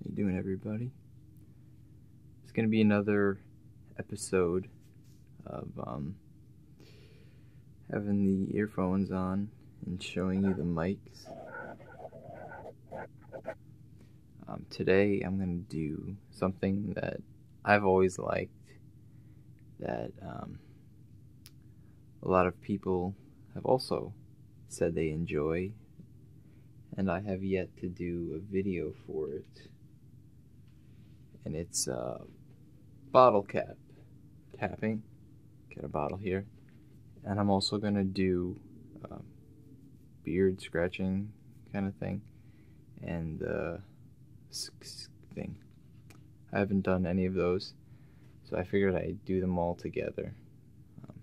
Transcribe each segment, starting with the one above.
How you doing, everybody? It's gonna be another episode of um, having the earphones on and showing you the mics. Um, today, I'm gonna do something that I've always liked that um, a lot of people have also said they enjoy and I have yet to do a video for it. And it's a uh, bottle cap tapping. Get a bottle here. And I'm also going to do um, beard scratching kind of thing and the uh, thing. I haven't done any of those, so I figured I'd do them all together. Um,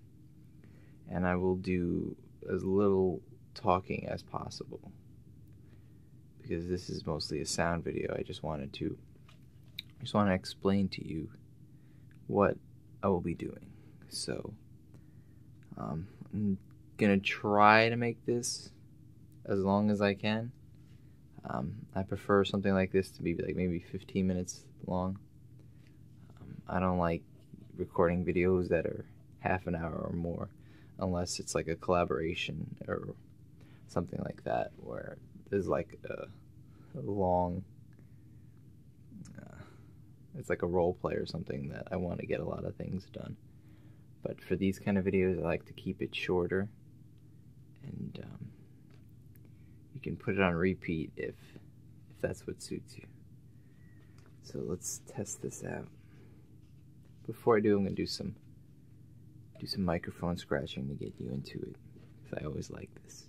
and I will do as little talking as possible because this is mostly a sound video. I just wanted to just want to explain to you what I will be doing. So um, I'm gonna try to make this as long as I can. Um, I prefer something like this to be like maybe 15 minutes long. Um, I don't like recording videos that are half an hour or more unless it's like a collaboration or something like that where there's like a, long uh, it's like a role play or something that I want to get a lot of things done but for these kind of videos I like to keep it shorter and um, you can put it on repeat if, if that's what suits you. So let's test this out. Before I do, I'm gonna do some do some microphone scratching to get you into it. Cause I always like this.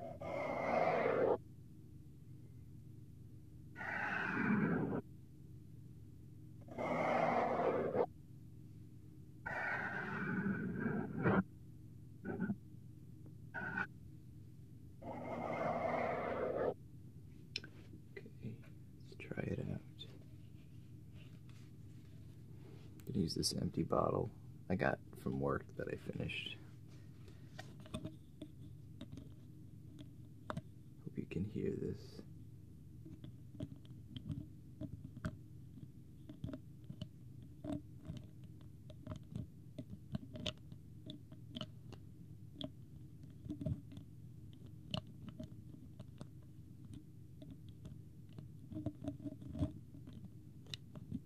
Okay. Let's try it out. I'm use this empty bottle. I got from work that I finished. Hope you can hear this.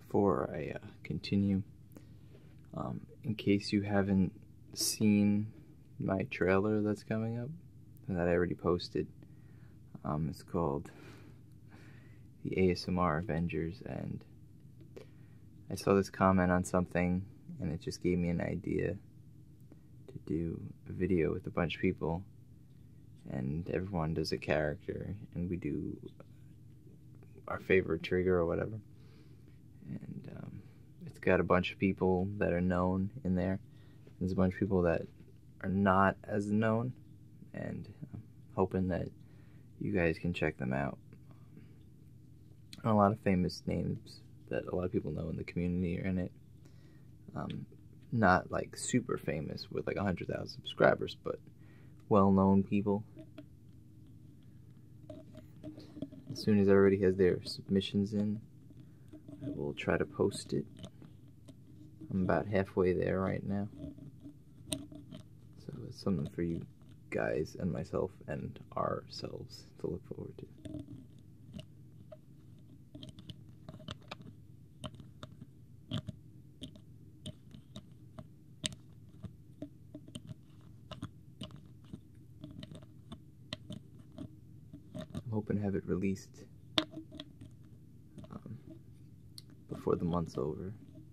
Before I uh, continue, um, in case you haven't seen my trailer that's coming up, that I already posted, um, it's called The ASMR Avengers, and I saw this comment on something and it just gave me an idea to do a video with a bunch of people and everyone does a character and we do our favorite trigger or whatever and um, it's got a bunch of people that are known in there there's a bunch of people that are not as known and hoping that you guys can check them out a lot of famous names that a lot of people know in the community are in it. Um, not like super famous with like 100,000 subscribers, but well known people. As soon as everybody has their submissions in, I will try to post it. I'm about halfway there right now. So it's something for you guys and myself and ourselves to look forward to. I'm hoping to have it released um, before the month's over.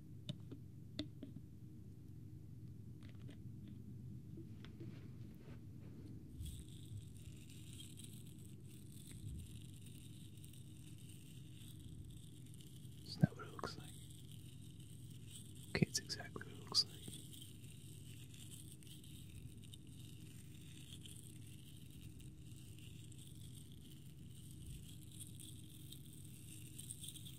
Is that what it looks like? Okay, it's exactly what it looks like.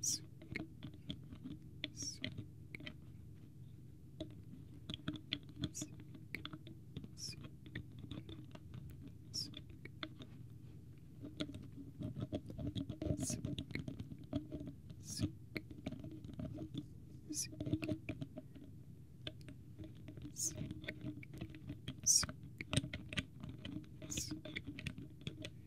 Sink, sink, sink, sink, sink. Sink, sink, sink, sink, sink, sink,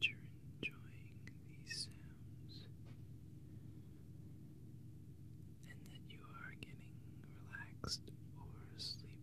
you're enjoying these sounds and that you are getting relaxed or sleepy.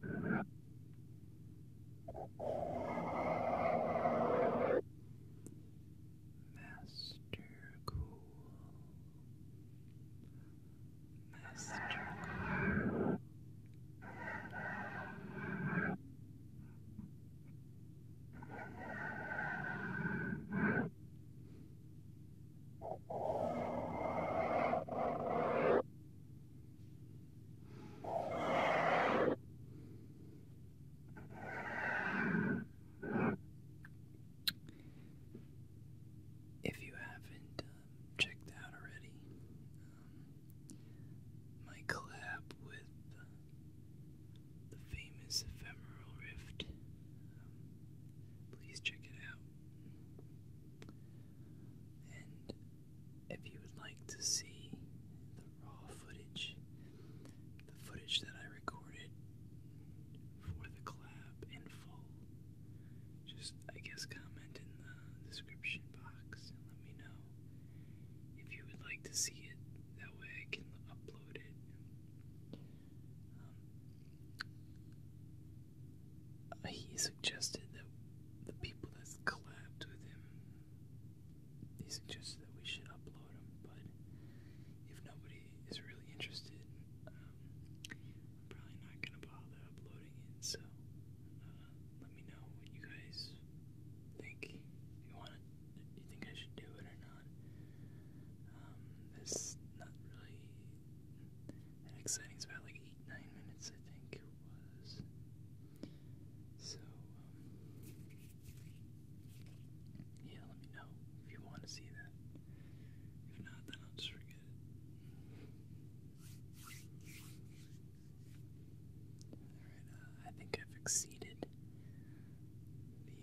Master Cool. Master Cool. Master if you haven't um, checked out already, um, my collab with uh, the famous Ephemeral Rift, um, please check it out. And if you would like to see the raw footage, the footage that I recorded for the collab in full, just I guess comment in the description box and let me know if you would like to see it. That way I can upload it. Um, he suggested that the people that's collabed with him, he suggested that we should upload him, but if nobody is really interested, um, I'm probably not going to bother uploading it, so uh, let me know what you guys think, you want you think I should do it or not. Um, not really and exciting's about like eight, nine minutes, I think was. So, um, yeah, let me know if you want to see that. If not, then I'll just forget it. Alright, uh, I think I've exceeded the,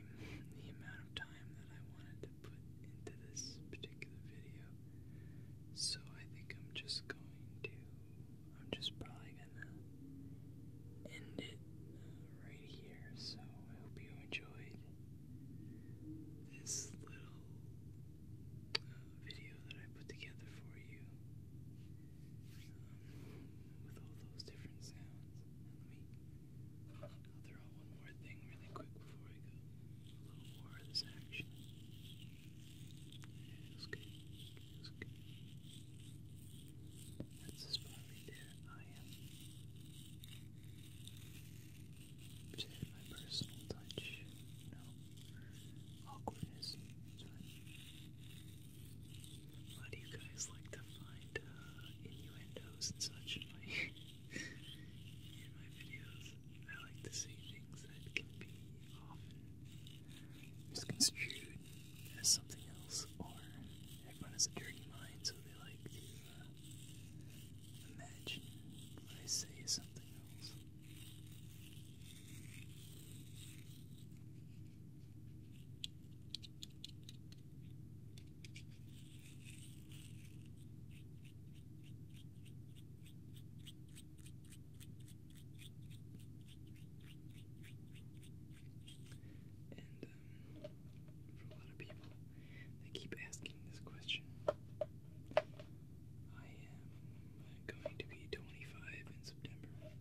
the amount of time that I wanted to put into this particular so I think I'm just going to, I'm just probably gonna end it uh, right here. So I hope you enjoyed this little uh, video that I put together for you um, with all those different sounds. Let one more thing really quick before I go. A little more of this action. It's good. It's good. That's the spot right there. I am. Which is my personal touch. You Know, awkwardness. It's fine. Why you guys like to find uh, innuendos and such in my, in my videos? I like to see things that can be misconstrued as something else, or everyone has a dirty mind, so they like to uh, imagine I say something else. And um, for a lot of people, they keep asking this question. I am going to be 25 in September.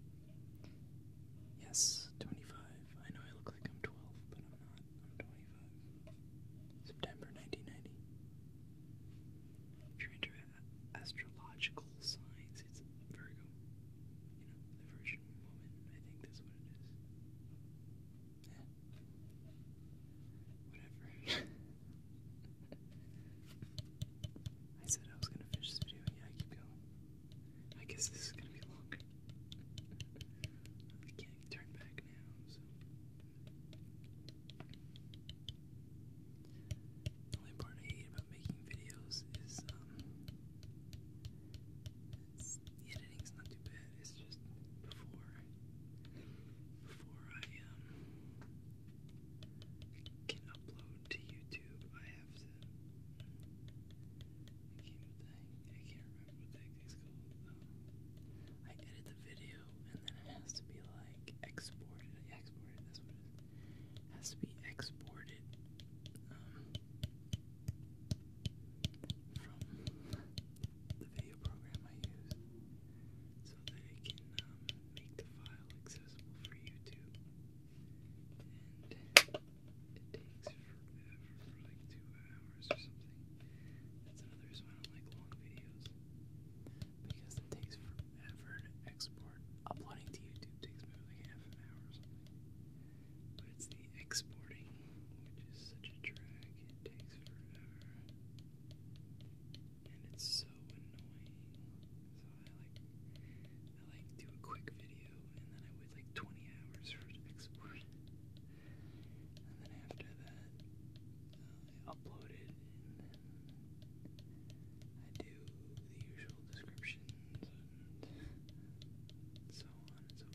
Yes, 25. I know I look like I'm 12, but I'm not. I'm 25. September 1990. If you're interested astrological signs. It's Virgo, you know, the Virgin woman. I think that's what it is. Yeah. Whatever. I said I was gonna finish this video, yeah, I keep going. I guess this is gonna be longer. I can't turn back now, so. The only part I hate about making videos is um it's, the not too bad. It's just before before I um, can upload to YouTube, I have to. I can't, remember what that is called. Um, I edit the video and then it has to be like exported. Exported, that's what it is. has to be exported um, from the video program I use so that it can um, make the file accessible for YouTube. And it takes forever for like two hours or something. That's another reason I don't like long videos because it takes forever to export. Uploading to YouTube takes me like half an hour But it's the exporting, which is such a drag, it takes forever. And it's so annoying. So I like I like do a quick video and then I wait like 20 hours for export. And then after that, upload it I do the usual descriptions and so on and so forth.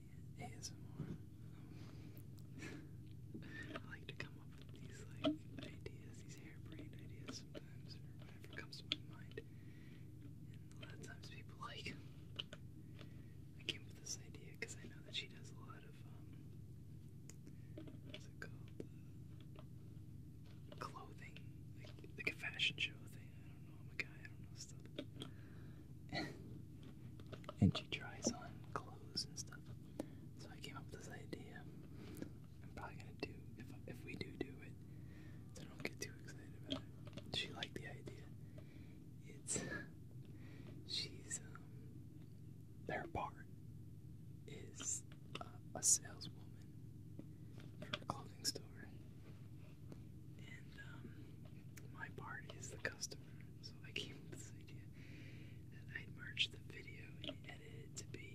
I like to come up with these like ideas, these harebrained ideas sometimes, whatever comes to my mind. And a lot of times people like, I came up with this idea because I know that she does a lot of, um, it called? clothing, like, a fashion show thing do and she tries on clothes and stuff. So I came up with this idea. I'm probably gonna do if if we do do it, so don't get too excited about it. She liked the idea. It's she's their um, part is a saleswoman for a clothing store, and um, my part is the customer. So I came with this idea that I'd merge the video and edit to be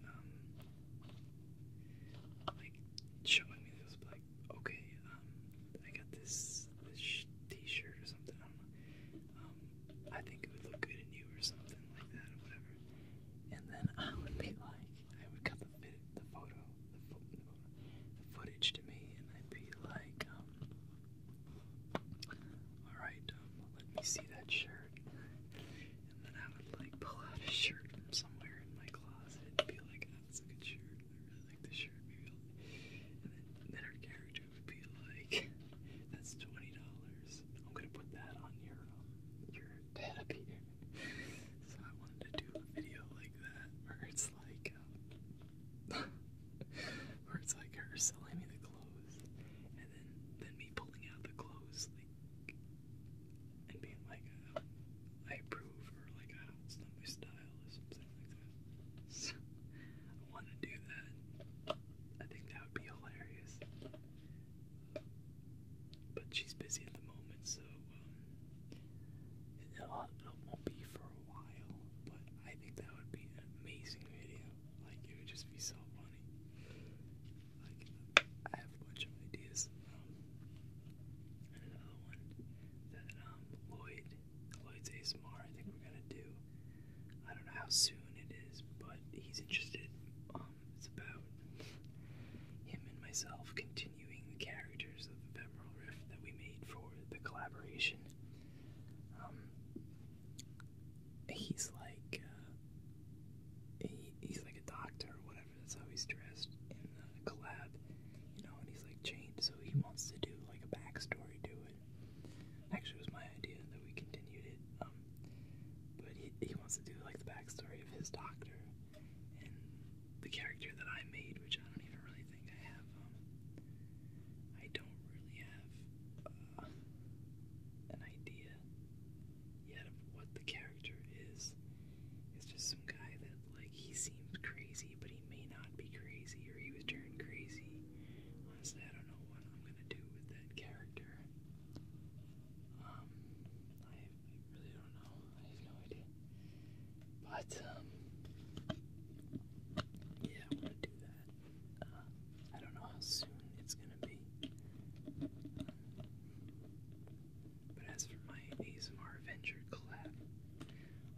um, like showing me this, like, okay, um, I got this, t-shirt or something, I think it would look good in you or something like that or whatever. And then I would be like, I would cut the, photo, footage to me, and I'd be like, um, alright, um, let me see that shirt. And then I would like pull out a shirt from somewhere in my closet and be like, oh, that's a good shirt. I really like this shirt. And then her character would be like, that's $20. I'm gonna put that on your, um, your tab here so I wanted to do a video like that where it's like, um, where it's like her selling me the clothes, and then then me pulling out the clothes like, and being like, um, I approve, or like, it's not my style, or something like that. So I want to do that. I think that would be hilarious. But she's busy at the moment, um, uh, it won't be for a while, but I think that would be an amazing video. Like, it would just be so funny. Like, I have a bunch of ideas. Um, another one that um, Lloyd, Lloyd's ASMR, I think we're gonna do. I don't know how soon it is, but he's interested. it's about him and myself continuing continuing the characters of Ephemeral Rift that we made for the collaboration. Um, he's like uh, he's like a doctor or whatever. That's how he's dressed in the collab, you know. And he's like chained, so he wants to do like a backstory to it. Actually, was my idea that we continued it. Um, but he wants to do like the backstory of his doctor the character that I made, which I don't even really think I have. Um, I don't really have uh, an idea yet of what the character is. It's just some guy that, like, he seems crazy, but he may not be crazy, or he was turned crazy. Honestly, I don't know what I'm gonna do with that character. Um, I really don't know. I have no idea. But um, yeah, I want to do that. Uh, I don't know how soon it's gonna be. but as for my ASMR Venture collab,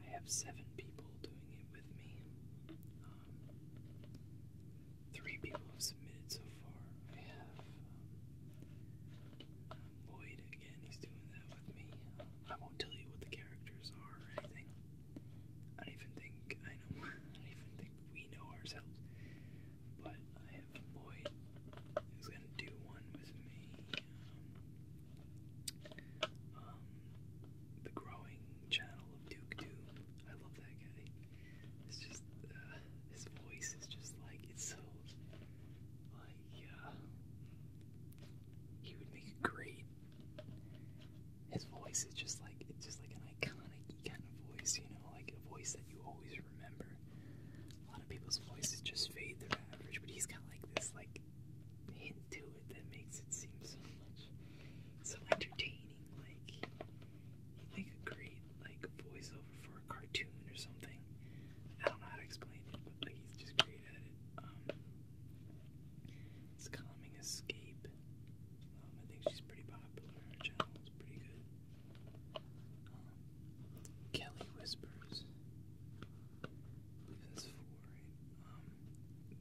I have seven people doing it with me. Um, three people have submitted so far. I have um, um again, he's doing that with me. I won't tell you what the characters are or anything. I even think I don't even think we know ourselves. But I have Lloyd who's gonna do one with me. Um, the growing channel of Duke Doom. I love that guy. It's just uh, his voice is just like it's so. Uh, yeah. He would make a great. His voice is just like it's just like an iconic kind of voice, you know, like a voice that you always remember. A lot of people's voices just fade through average, but he's got like this like hint to it that makes it seem so much so entertaining. Like like a great like voiceover for a cartoon or something. I don't know how to explain it, it's um, calming escape. Um, I think she's pretty popular. Her channel is pretty good. Um, Kelly Whispers.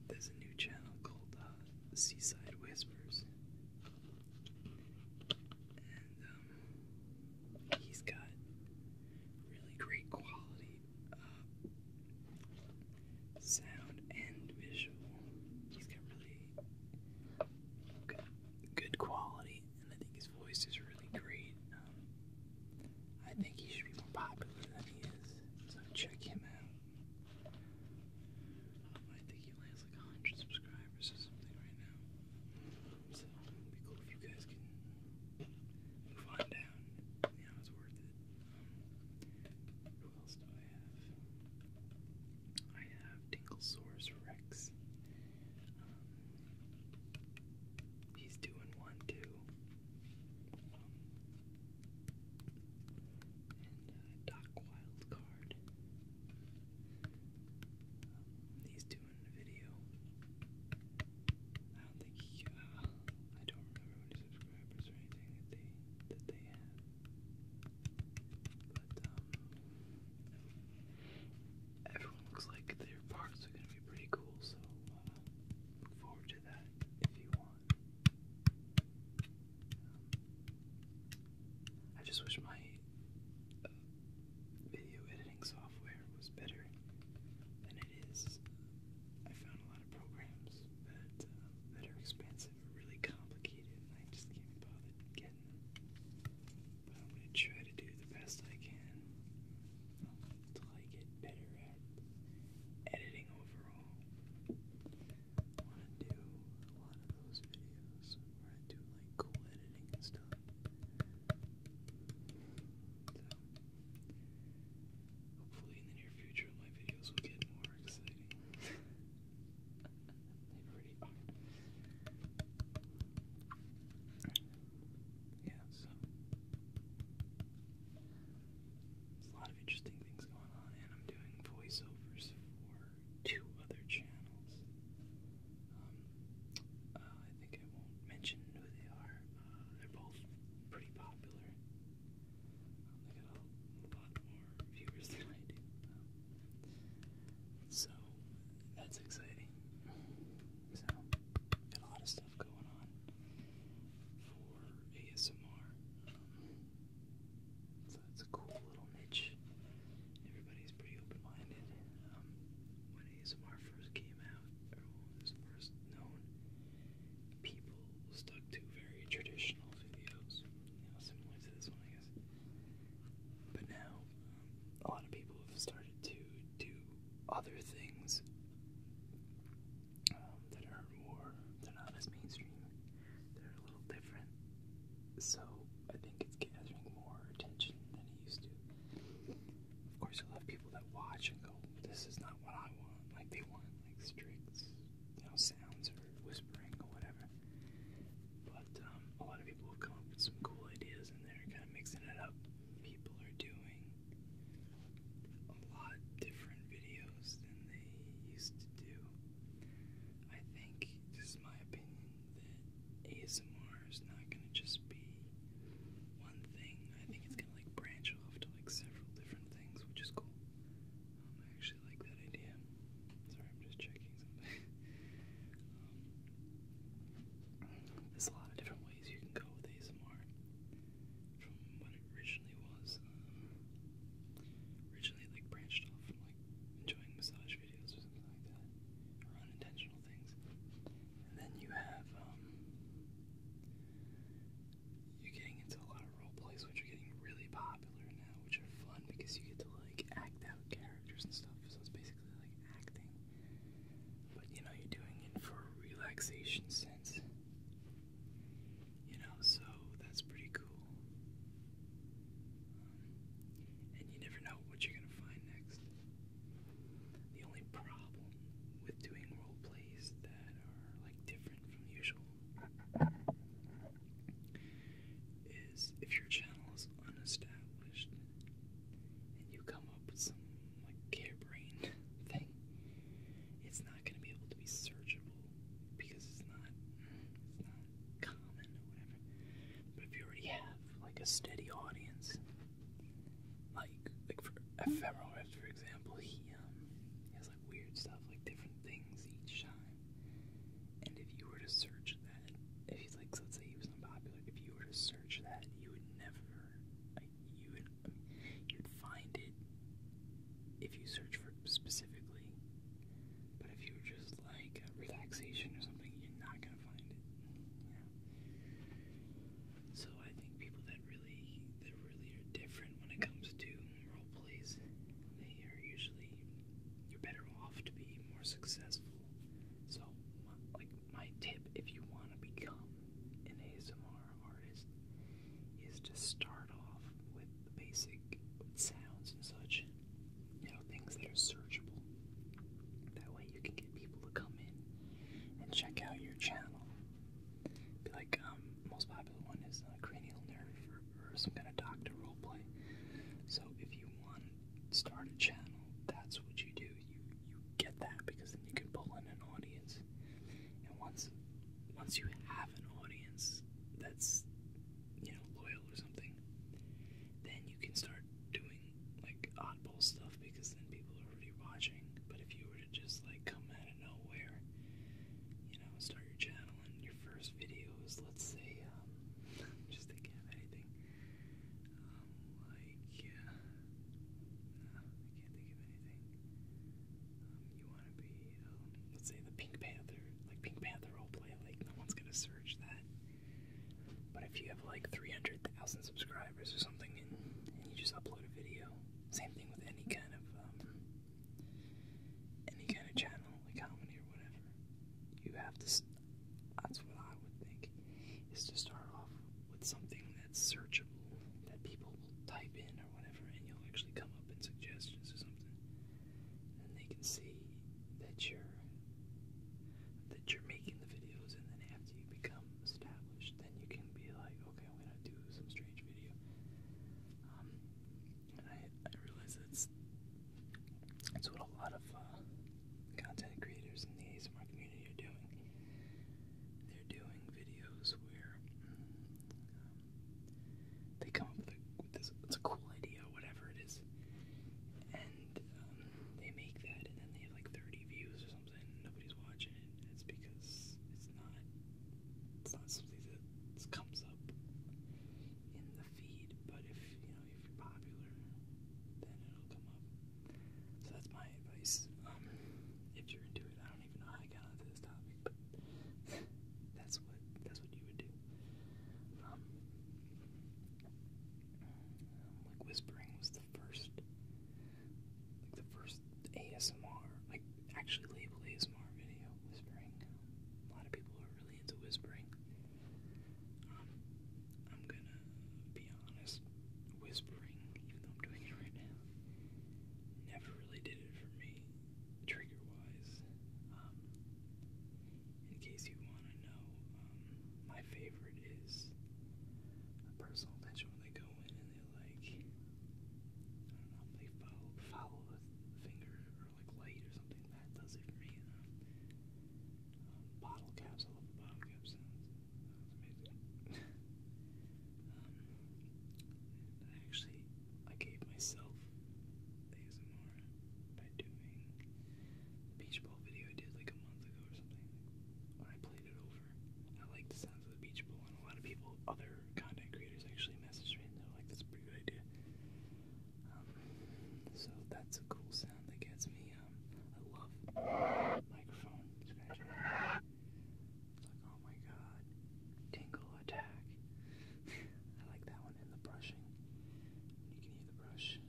there's a new channel called uh, Seaside Whispers. He's got really great quality uh, sound and visual. He's got really good, good quality, and I think his voice is really great. Um, I think he should be more popular than he is, so check him out. I think he lands like 100 subscribers or something right now. So it'd be cool if you guys can move on down. You it's worth it. Um, who else do I have? I have Dinglesaurus Rex. Um, he's doing one too. and uh, Doc Wildcard. Um, he's I don't think uh, I don't remember any subscribers or anything that they that they had. But um, everyone looks like their parts are gonna be pretty cool, so uh, look forward to that if you want. Um, I just wish my uh, video editing software was better than it is. I found a lot of programs that, uh, are expensive really complicated, I just can't be getting them. But I'm going to try to do the best I can until I get better at editing overall. I want to do a lot of those videos where I do like cool editing and stuff. hopefully, in the near future, my videos will get more exciting. they already are. Yeah, so. There's a lot of interesting things going on, and I'm doing voiceovers for two other channels. Um, uh, I think I won't mention who they are. Uh, they're both pretty popular. Um, they a lot more viewers than I do. so that's exciting. So got a lot of stuff going on for ASMR. Um, so it's a cool little niche everybody's pretty open-minded. Um, when ASMR first came out, or was first known, people stuck to very traditional videos, similar to this one, I guess. But now, um, a lot of people have started to do other things um, that are more, they're not as mainstream, they're a little different. So, I think it's gathering more attention than it used to. Of course, you'll have people that watch and go, "This is not what I want." Like they want like strict, you know, sounds or whispering or whatever. But um, a lot of people have come up with some cool ideas, and they're kind of mixing it up. People are doing a lot different videos than they used to do. I think, this is my opinion, ASMR is not gonna just be one thing. I think it's gonna like branch off to like several different things, which is cool. Um, I actually like that idea. Sorry, I'm just checking something. Um, there's a lot of different ways you can go with ASMR from what it originally was. Um, originally, like branched off from like enjoying massage videos or something like that, or unintentional things. And then you have, um, you're getting into a lot of role plays, which are getting really popular now, which are fun because you get to, like, act out characters and stuff. So it's basically like acting. But, you know, you're doing it for a relaxation sense. You know, so that's pretty cool. Um, and you never know what you're going to find next. The only problem with doing role plays that are like different from usual is if your channel is unestablished and you come up with some like harebrained thing, it's not going to be able to be searchable because it's not it's not common or whatever. But if you already have like a steady audience. Like like for ephemeral for example, he um has like weird stuff, like different things each time. And if you were to search that, if he's like, so let's say he was unpopular, if you were to search that, you would never, you would, you'd find it if you search for specifically. But if you were just like relaxation or something, you're not gonna find it. So I think people that really that really are different when it comes to role plays, they are usually you're better off to be more successful. So my, like my tip if you want to become an ASMR artist is to start off with the basic sounds and such you know, things that are searchable. That way you can get people to come in and check out your channel. like, um, most popular one is uh, cranial nerve or, some kind of doctor role play. So if you want to start a channel, that's what you do. You you get that because then you can pull in an audience. And once once you have an audience that's you know loyal or something, then you can start doing like oddball stuff because then people are already watching. But if you were to just like come out of nowhere, you know, start your channel and your first video is let's say, um, just thinking of anything, um, like, I can't think of anything. Um, you want to be, um, let's say the Pink Panther, like Pink Panther roleplay, like no one's gonna search that. But if you have like 300,000 subscribers or something and, you just upload a video, same thing with any kind of um, any kind of channel, like comedy or whatever, you have to. That's what I would think is to start off with something that's searchable that people will type in or whatever, and you'll actually come up in suggestions or something, and they can see that you're that you're making the videos, and then after you become established, then you can be like, okay, I'm gonna do some strange video. Um, and I, I realize that's that's what a lot of uh, content creators in the ASMR community are doing. They're doing videos where mm, um, they come up with, a, cool idea, whatever it is, and um, they make that, and then they have like 30 views or something, nobody's watching it. It's because it's not, it's not something that comes up in the feed. But if you know if you're popular, then it'll come up. So that's my advice. Um, if you're into it, I don't even know how I got onto this topic, but that's what that's what you would do. Um, um, like whispering was the first, like the first ASMR, like actually labeled ASMR video. Whispering. A lot of people are really into whispering. Um, I'm gonna be honest. Whispering, even though I'm doing it right now, never really did it for me, trigger wise. Um, in case you want to know, um, my favorite is personal touch when they go in and they like, I don't know, they follow, follow a finger or like light or something. That does it for You um, bottle caps, bottle cap sounds. That amazing. Um, actually, I gave myself ASMR by doing beach ball video I did like a month ago or something when I played it over. I like the sounds of the beach ball, and a lot of people, other content creators, actually messaged me and they're like, "That's a pretty good idea." Um, so that's a cool sound that gets me. Um, I love microphone scratching. It's like, oh my god, tingle attack. I like that one and the brushing. You can use the brush.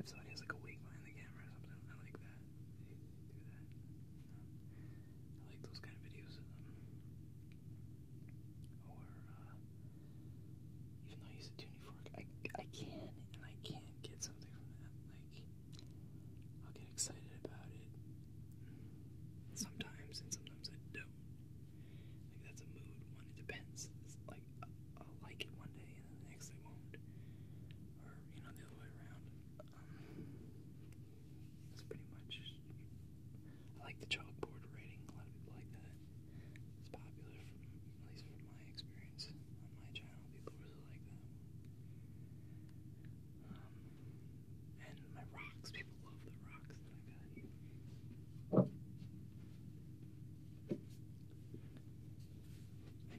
if somebody has like a behind the camera or something, I like that. I like those kind of videos. or uh, even though I use a tuning fork, I I can and I can't get something from that. Like I'll get excited about it sometimes, and sometimes I don't that's a mood one. It depends. like I'll like it one day and then the next I won't, or you know the other way around. Um, that's pretty much. I like the chalkboard writing. A lot of people like that. It's popular, at least from my experience on my channel. People really like that. Um, and my rocks. People love the rocks. I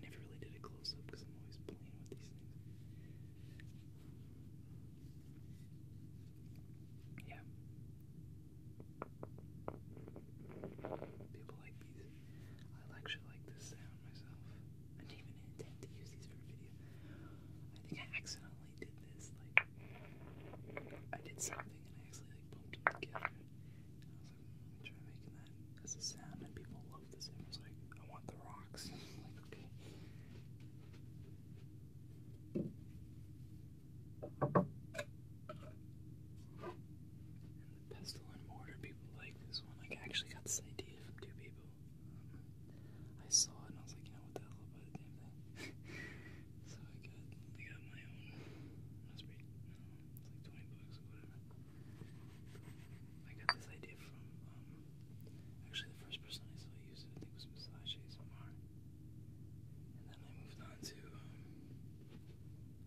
never really did a close up because I'm always playing with these things. Yeah. People like these. I actually like this sound myself. I didn't even intend to use these for video. I think I accidentally did this. Like, I did something actually like bumped together. I was like, mm, try making that as a sound, and people love this. I was like, I want the rocks. like, okay. And the pestle and mortar people like this one. Like, I actually got this idea from two people. Um, I saw it and I was like, you know what the hell about the damn thing? So I got, I got my own, it's like 20 bucks or whatever. I got this idea from, um, actually the first person I saw use it, I think was Massage ASMR. And then I moved on to, um,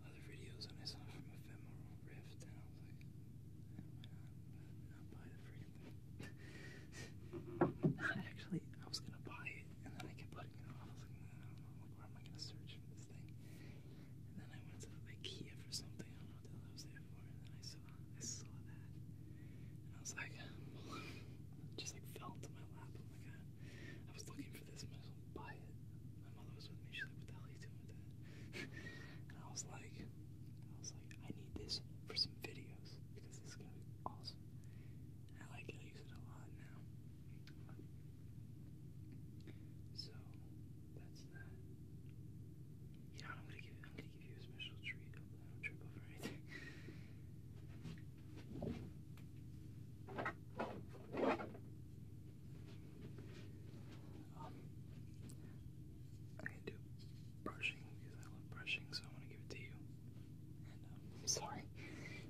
other videos and I saw from Ephemeral Rift and I was like, why not, not buy the freaking thing? Actually, I was gonna buy and then I kept putting it off. I was mm, like, where am I gonna search for this thing? And then I went to IKEA for something. I don't know what I was there for. And then I saw, I saw that, and I was like, just like fell into my lap. I'm oh like, I, was looking for this. Might as well buy it. My mother was with me. She's like, what the doing that? and I was like, I was like, I need this for some videos because this is gonna be awesome. I like it. I use it a lot now. So that's that. You I'm gonna give I'm gonna give you a special treat. don't trip over anything. Um, i do brushing because I love brushing, so I'm gonna give it to you i sorry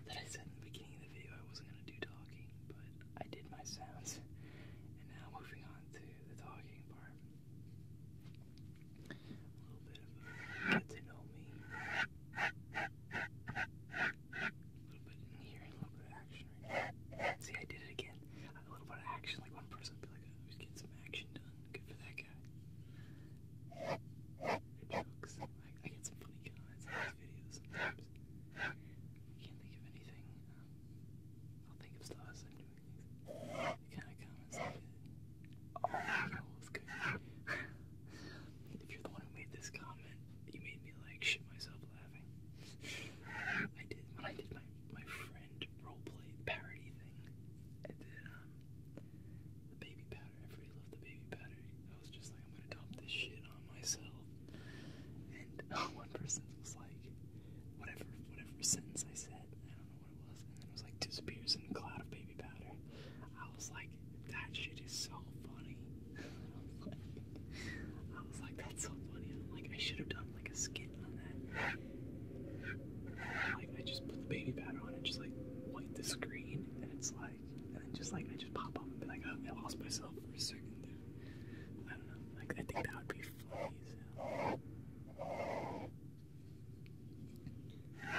that I said in the beginning of the video I wasn't gonna do talking, but I did my sounds. And now moving on to the talking part. A little bit of get to know me. A little bit in here, a little bit of action right See, I did it again. A little bit of action, like one person be like, I oh, was some action done. Good for that guy. Good I, I get some funny comments videos I can't think of anything. Um, I'll think of stuff I'm doing things. kind of comments oh, good. if you're the one who made this comment, you made me like shit myself laughing. I did when I did my my friend roleplay parody thing. I did um the baby I freaking love the baby batter. I was just like, I'm gonna dump this shit on myself. And one person was like, whatever, whatever sentence I said, I don't know what it was, and then it was like disappears in a cloud of baby powder. I was like, that shit is so funny. I was like, that's so funny. I'm like, I should have done like a skit on that. Like I just put the baby powder on and just like wipe the screen, and it's like and then just like I just pop up and be like, oh, I lost myself for a second I don't know. Like I think that would be funny. a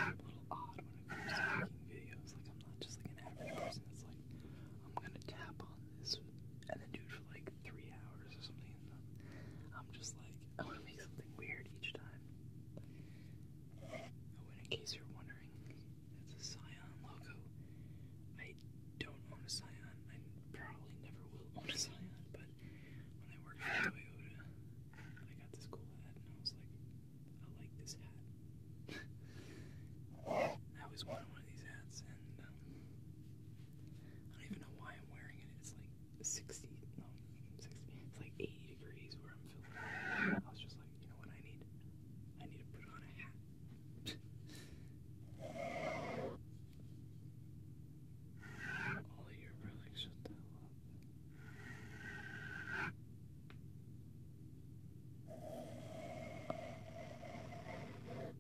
little odd when it comes to making videos. Like I'm not just like an average person. It's like I'm gonna tap on this and then do it for like three hours or something. I'm just like I want to make something weird each time. Oh, in case you're wondering, that's a Scion logo. I don't own a Scion. I probably never will own a Scion, but when I worked for Toyota, I got this cool hat, and I was like, I like this hat. I always wanted one of these hats, and um, I don't even know why I'm wearing it. It's like 60, no, 60, it's like 80 degrees where I'm filming. I was just you know what I need? I need to put on a hat. Ollie, you're really shut the hell up. I can hear my mother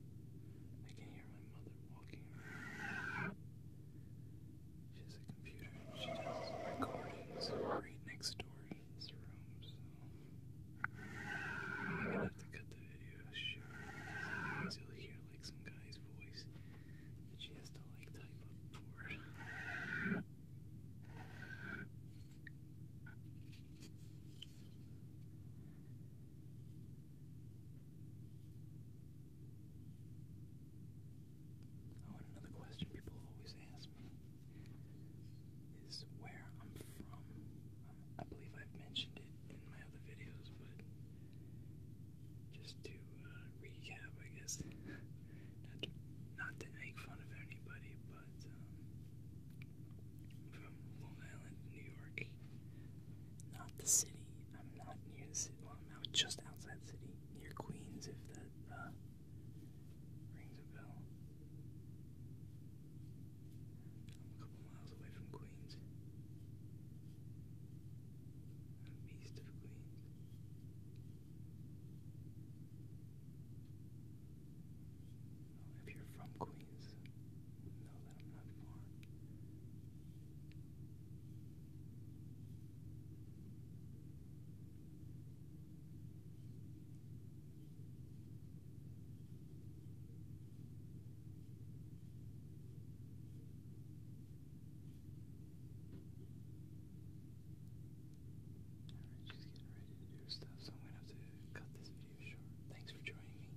walking around. She has a computer she does recordings right next door in this room, so I'm gonna have to cut the video short because you'll hear like some guy's voice that she has to like type up for Oh, another question people always ask me is where I'm from. Um, I believe I've mentioned it in my other videos, but just to uh, recap, I guess, not, to, make fun of anybody, but um, from Long Island, New York, not the city. I'm not near the city. I'm out just outside the city, near Queens, if that. Uh, Rings a bell. I'm a couple miles away from Queens. I'm east of Queens. Oh, if you're from Queens, know that I'm not far she's getting ready to do stuff, so I'm gonna have to cut this video short. Thanks for joining me.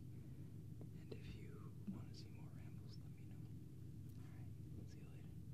And if you want to see more rambles, let me know. see you later.